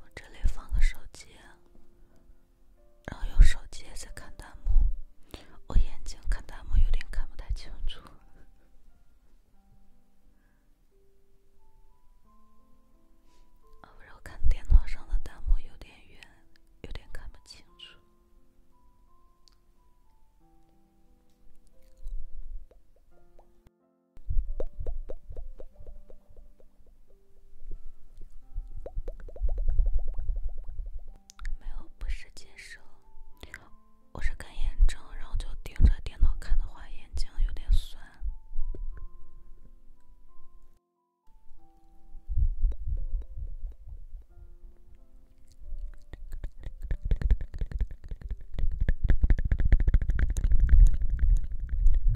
我这里放个手机，然后用手机在看弹幕。我眼睛看弹幕有点看不太清楚，然后看电脑上的弹幕有点远，有点看不清楚。没有，不是近视，我是看眼症，然后就盯着电脑看的话，眼睛有点酸。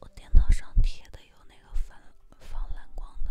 我电脑上贴的有那个防防蓝光的。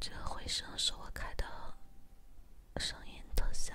这个回声是我开的声音特效。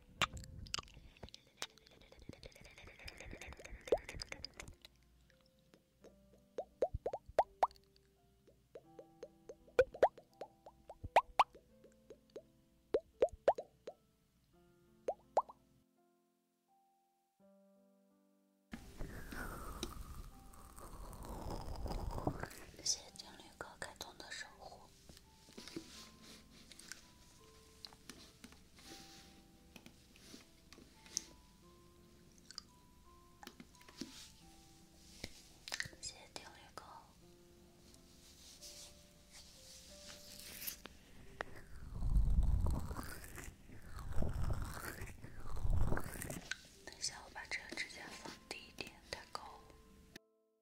谢谢情侣哥感动的守护。谢谢定律狗。等下我把这个指甲放低一点再勾。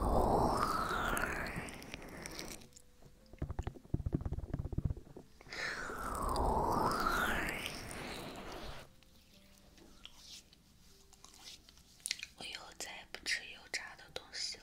我以后再也不吃油炸的东西了。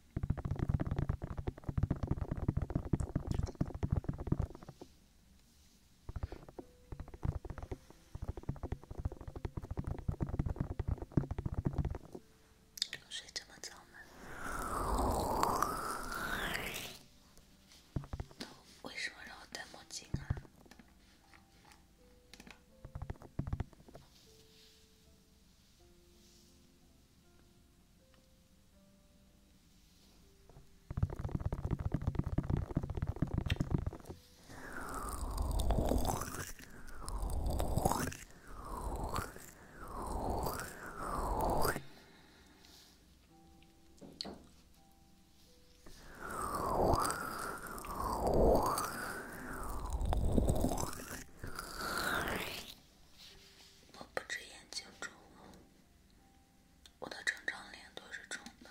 怎么睡这么早呢？为什么让我戴墨镜啊？我不止眼睛肿了。我的整张脸都是肿的。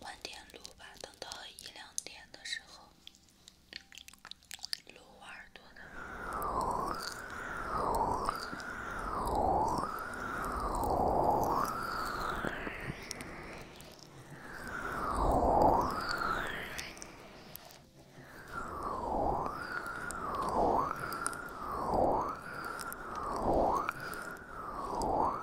晚点录吧，等到一两点的时候录挖耳朵的。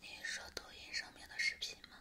你说抖音上面的视频吗？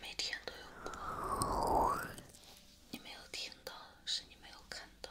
每天都有，你没有听到，是你没有看到。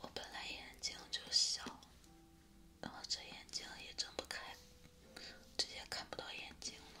我本来眼睛就小，然后这眼睛也睁不开，直接看不到眼睛了。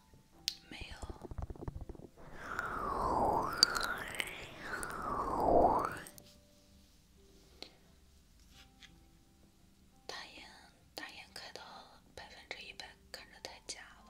没有，大眼大眼开到百分之一百，看着太假了。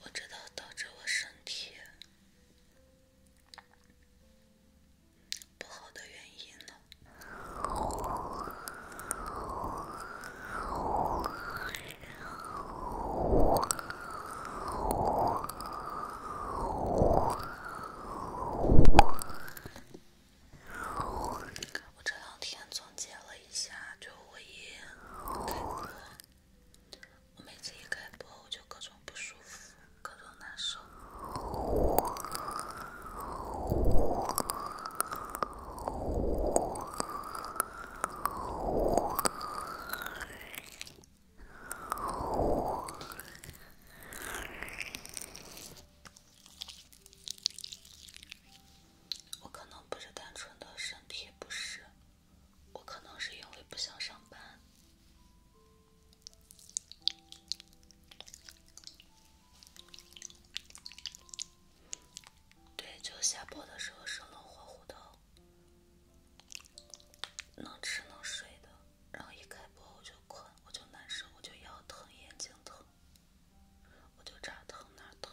我知道导致我身体。不好的原因呢？我这两天总结了一下，就我一开播，我每次一开播，我就各种不舒服。各种难受，我可能不是单纯的身体不适，我可能是因为不想上班。对，就下播的时候生龙活虎的，能吃能睡的，然后一开播我就困，我就难受，我就腰疼、眼睛疼，我就这疼那疼。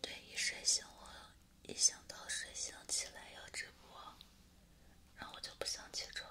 对，一睡醒我一想到睡醒起来要直播，然后我就不想起床。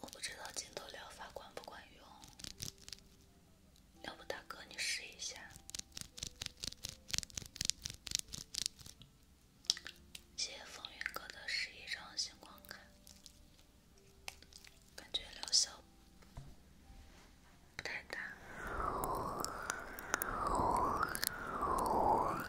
我不知道镜头疗法管不管用，要不大哥你试一下？谢谢风云哥的十一张星光卡，感觉疗效不太大。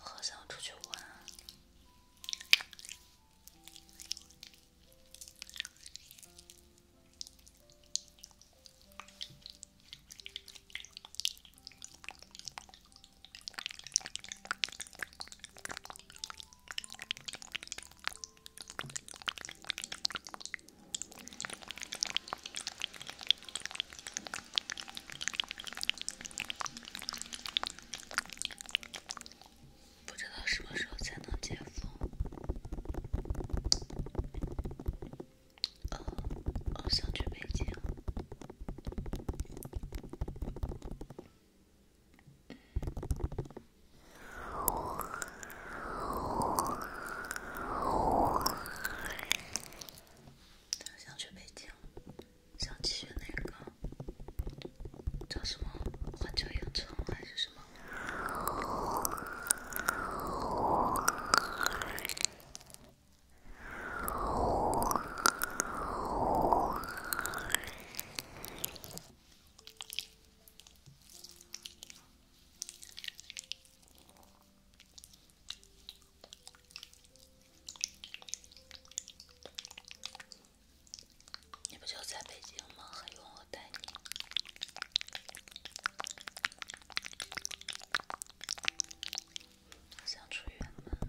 好想出去玩不知道什么时候才能解封。呃，我想去北京。我想去北京。想去那个叫什么环球影城还是什么？你不就在北京吗？还用我带你？想出远门？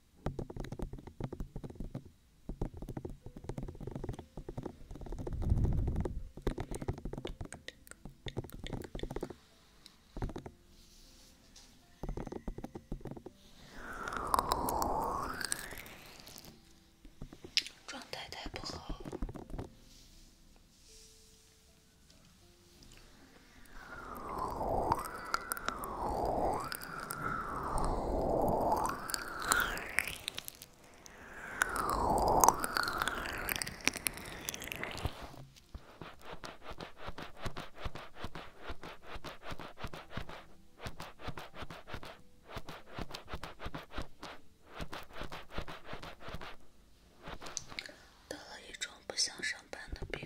状态太不好得了一种不想上班的病。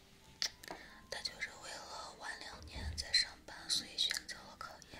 他就是为了晚两年再上班，所以选择了考研。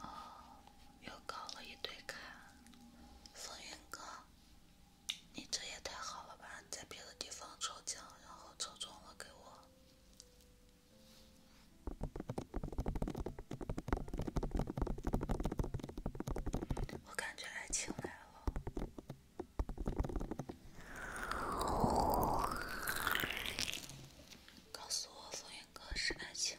哦，又搞了一堆卡，风云哥，你这也太好了吧！在别的地方抽奖，然后抽中了给我，我感觉爱情来了，告诉我风云哥是爱情。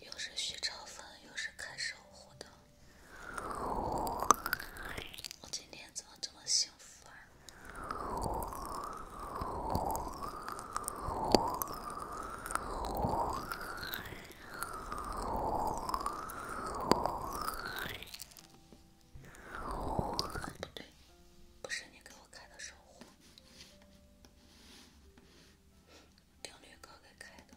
又是许长风，又是看守护的，我今天怎么这么幸福啊？不对，不是你给我开的守护，定律哥给开的。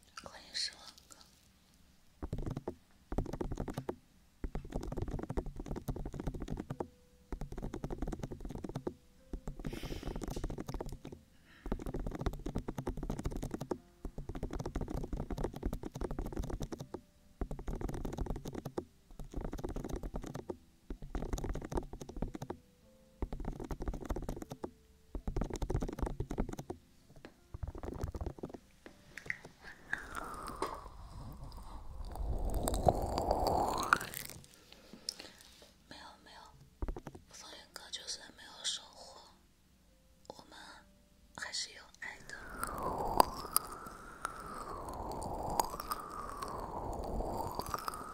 关键是。没有没有，风铃哥就是没有收获，我们还是有爱的。